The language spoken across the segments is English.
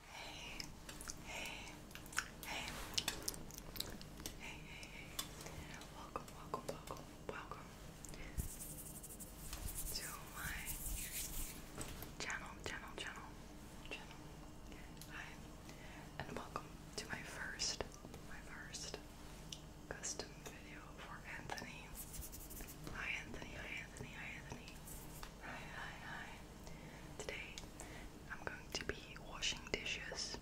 Hey, hey, hey, hey, hey, hey, welcome, welcome, welcome, welcome to my channel, channel, channel, channel, hi, and welcome to my first, my first custom video for Anthony, hi Anthony, hi Anthony, hi Anthony, hi, hi, hi, Today I'm going to be washing dishes.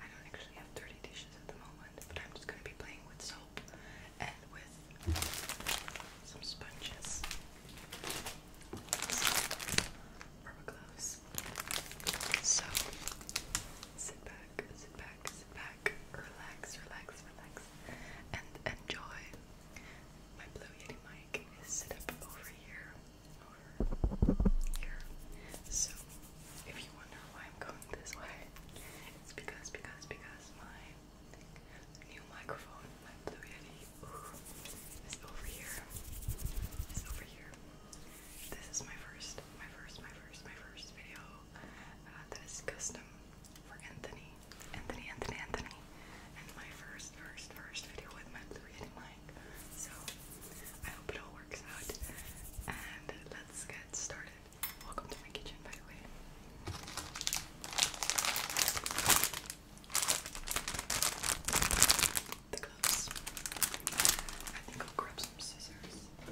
I don't actually have dirty dishes at the moment, but I'm just going to be playing with soap and with some sponges. Rubber gloves. So sit back, sit back, back, relax, relax, relax, and enjoy my Blue Yeti mic is set up over here, over here. So if you wonder why I'm going this way, it's because, because, because my new microphone, my Blue Yeti, is over here. over here. This is my first, my first, my first, my first video uh, that is custom for Anthony. Anthony, Anthony, Anthony and my first, first, first video with my blue yeti mic. So I hope it all works out. And let's get started. Welcome to my kitchen, by the way. The gloves. I think I'll grab some scissors to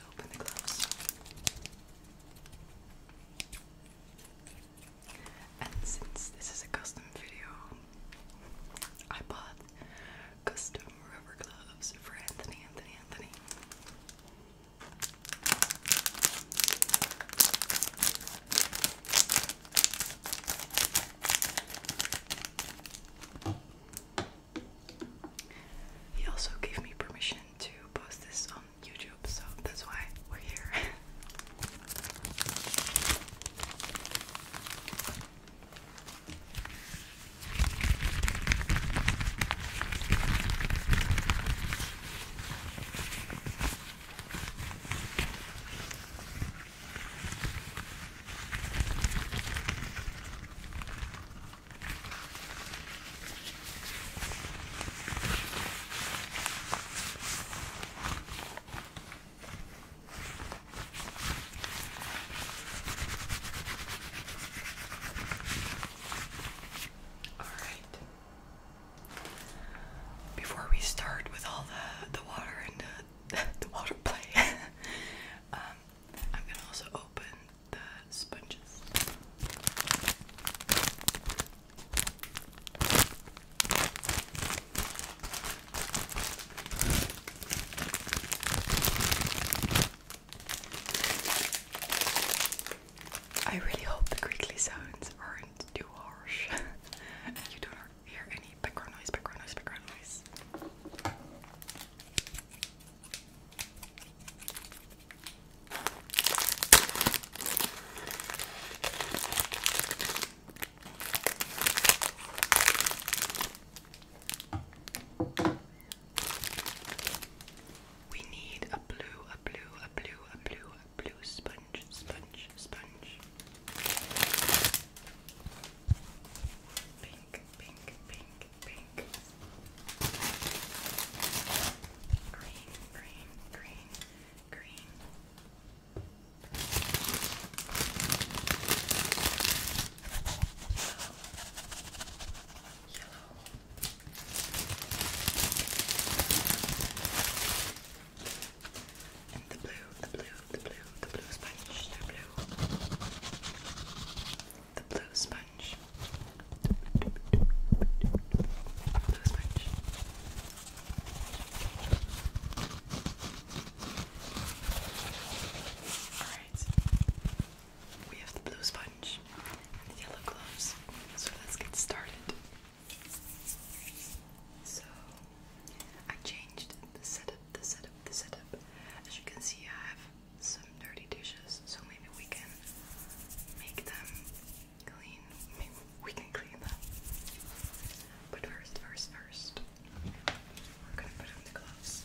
open the gloves. And since this is a custom video, I bought custom rubber gloves for Anthony, Anthony, Anthony. He also gave me permission to post this YouTube, so that's why we're here. Alright. Before we start with all the the water and the, the water play, um, I'm gonna also open the sponges. I really hope the creakly sounds aren't too harsh. you don't hear any background noise, background noise, background noise. We need a blue, a blue, a blue, a blue, a blue sponge, sponge, sponge. Pink, pink, pink, pink. Green, green, green, green, and the blue, the blue, the blue, the blue sponge, the blue. The blue sponge. Blue sponge. Alright. We have the blue sponge and the yellow gloves. So let's get started. So I changed the setup, the setup, the setup. As you can see I have some dirty dishes, so maybe we can make them clean. Maybe we can clean them. But first, first, first, we're gonna put on the gloves.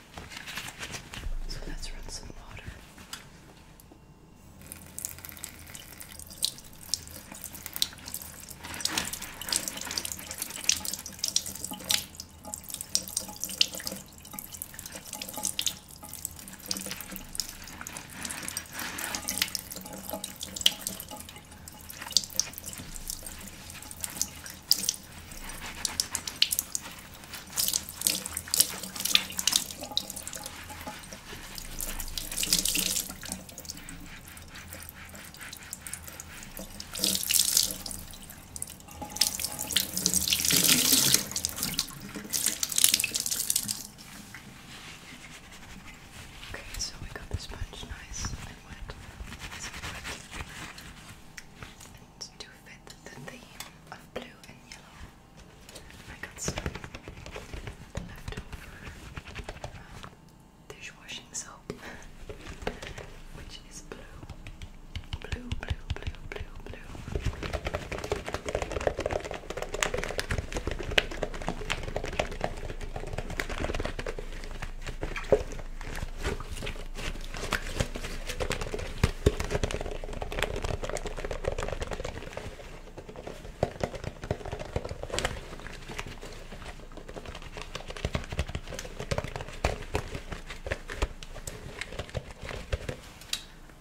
So let's run some water. Okay, so we got this bunch nice and wet. It's wet. And to fit the theme of blue and yellow. I got some um, dishwashing soap, which is blue. Blue, blue, blue, blue, blue.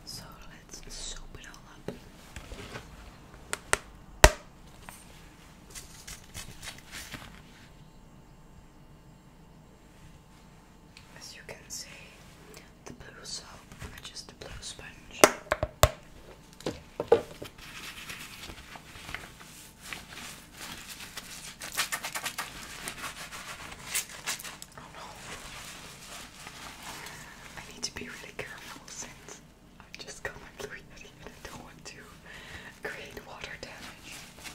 So let's soap it all up. As you can see, the blue soap matches the blue sponge. I need to be really careful since I just got my blue yeti and I don't want to create water damage.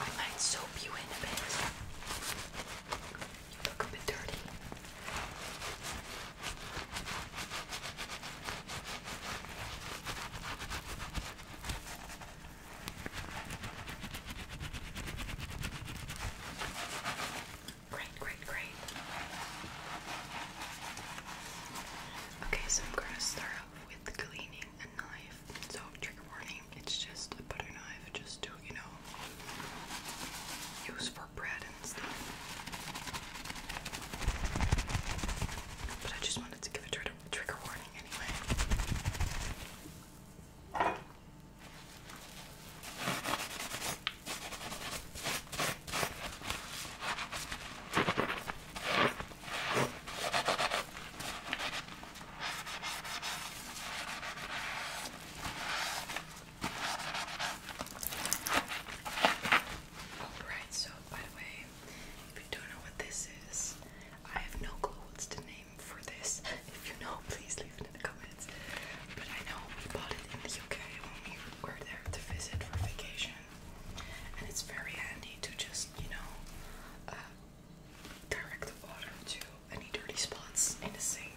I might soap you in a bit. You look a bit dirty. Great, great, great. Okay, so I'm gonna start off with cleaning a knife. So, trigger warning, it's just a butter knife, just to, you know, use for bread and stuff. But I just wanted to give a trigger warning anyway. Alright, so by the way, if you don't know what this is, I have no clue what's the name for this. If you know, please leave it in the comments. But I know we bought it in the UK when we were there to visit for vacation, and it's very handy to just you know uh, direct the water to any dirty spots in the sink.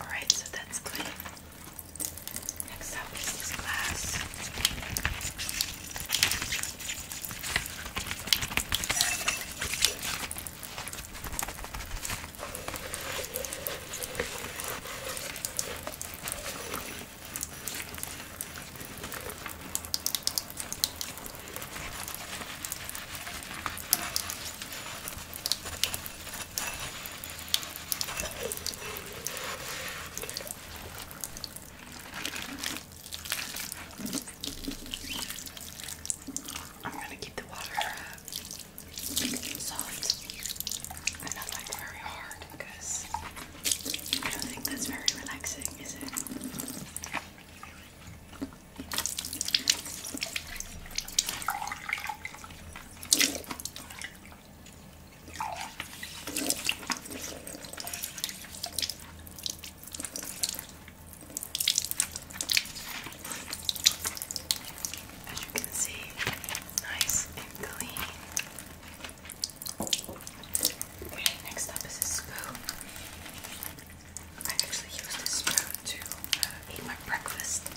Alright, so that's good. Next up is glass. I'm gonna keep the water soft and not like very hard because I don't think that's very relaxing, is it? As you can see, nice and clean. Okay, next up is a spoon. I actually use this spoon to uh, eat my breakfast.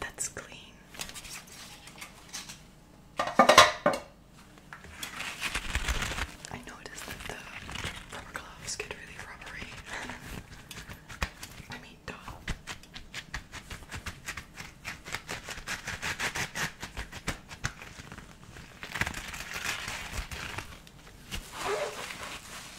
that's clean. I noticed that the rubber gloves get really rubbery. I mean, duh.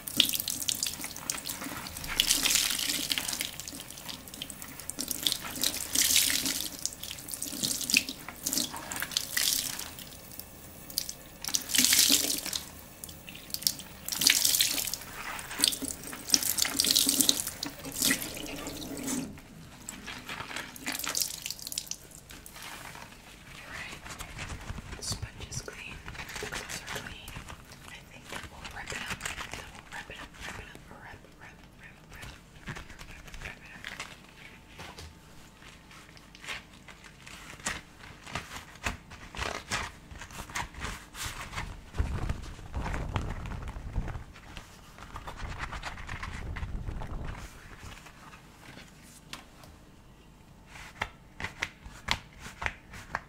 Alright, the sponge is clean, the gloves are clean. I think that will wrap it up. That will wrap it up, wrap it up, wrap, wrap, wrap, wrap, wrap, wrap, wrap it up. Okay.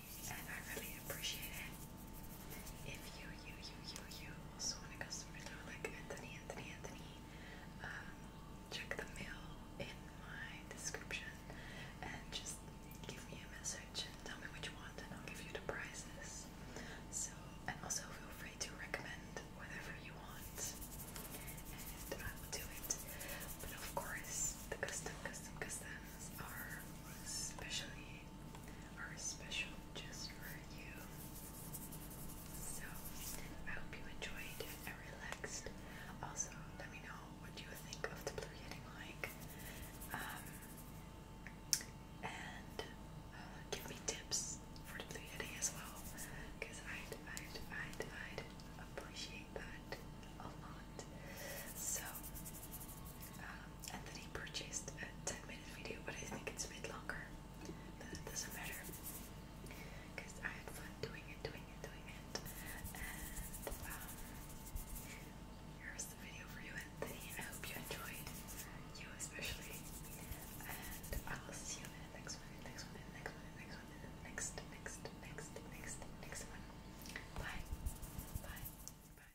and I really appreciate it. If you, you, you, you, you also want a customer though, like Anthony, Anthony, Anthony, um, check the mail in my description and just give me a message and tell me what you want, and I'll give you the prices. So, and also feel free to recommend whatever you want, and I will do it. But of course, the custom, custom, customs are especially are special just for you. So I hope you enjoyed and relaxed. Also, let me know what you think of the Blue Yeti mic. Um, and uh, give me tips for the Blue Yeti as well, because i i i i appreciate that a lot. So, um, purchased a 10 minute video, but I think it's a bit longer. But it doesn't matter. Because I had fun doing it, doing it, doing it. And um, here's the video for you, Anthony. I hope you enjoyed. You especially. And I will see you in the next one, next one, next one, next one, next, next, next, next, next one. Bye. Bye. Bye.